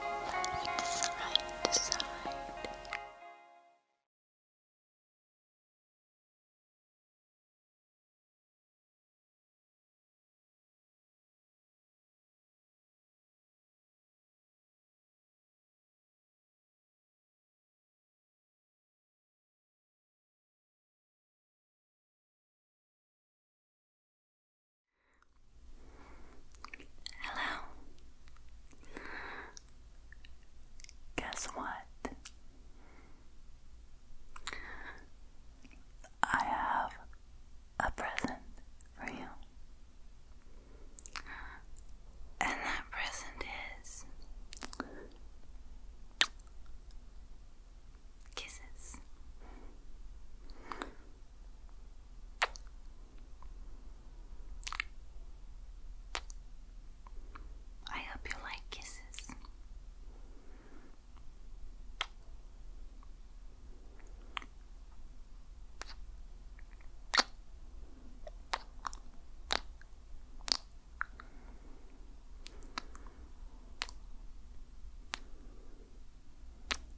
Look side to side. Hello. Guess what? I have a present for you. And that present is kisses. I hope you like kisses.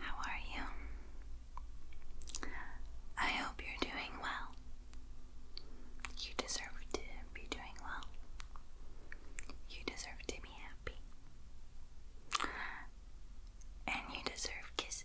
How are you? I hope you're doing well. You deserve to be doing well. You deserve to be happy. And you deserve kisses.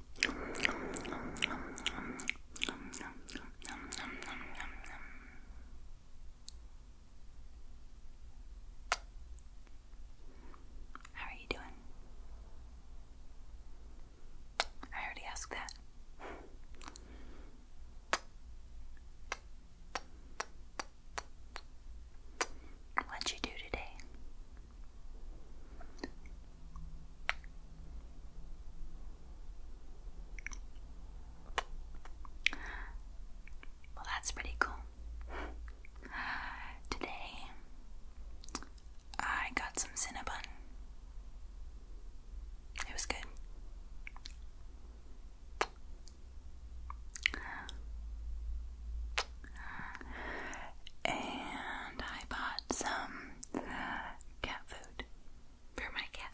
How are you doing? I already asked that. What'd you do today? Well, that's pretty cool. Today, I got some Cinnabon. It was good. And I bought some cat food for my cat.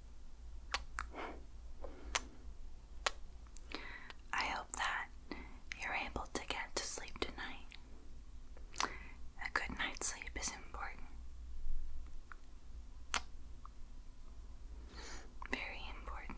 I hope that you're able to get to sleep tonight. A good night's sleep is important. Very important.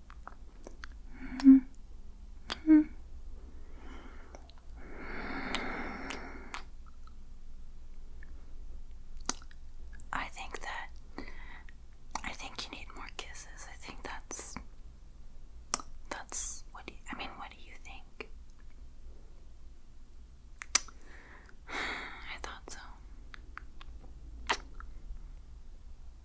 I think that I think you need more kisses. I think that's that's what do you, I mean, what do you think? I thought so.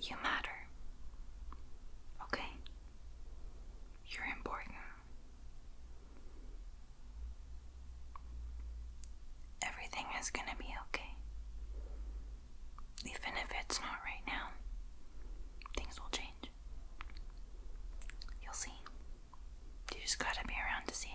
You matter. Okay? You're important everything is going to be okay. Even if it's not right now, things will change. You'll see. You just gotta be around to see it.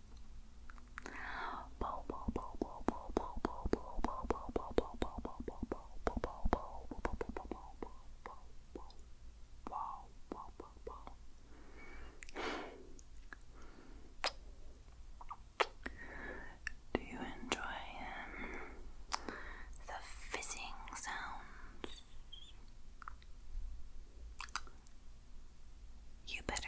Do you enjoy um, the fizzing sounds? You better.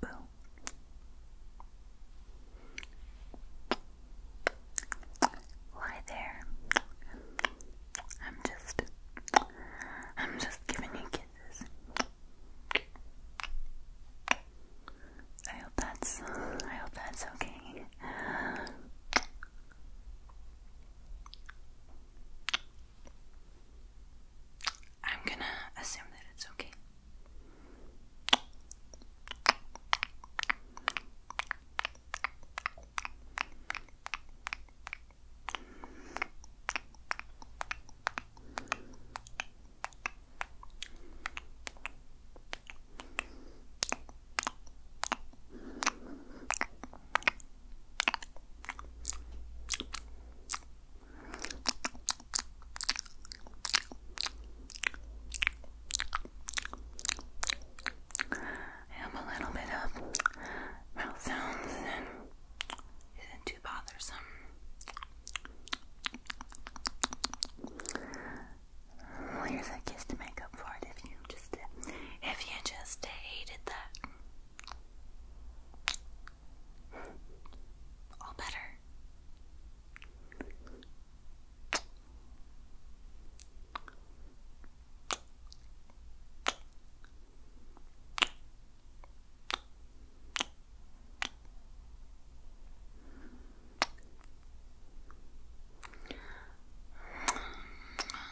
Boom. Lie there. I'm just I'm just giving you kisses. I hope that's I hope that's okay. I'm gonna assume that it's okay. I have a little bit of mouth sounds and isn't too bothersome. here's a kiss to make up for it if you just if you just hated that. All better.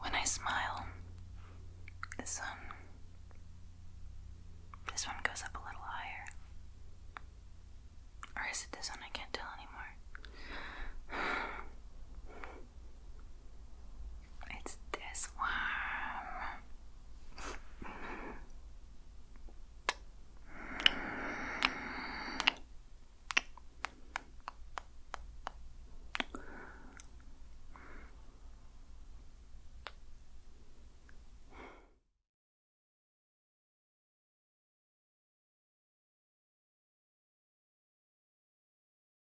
When I smile, this one this one goes up a little higher. Or is it this one? I can't tell anymore. It's this one.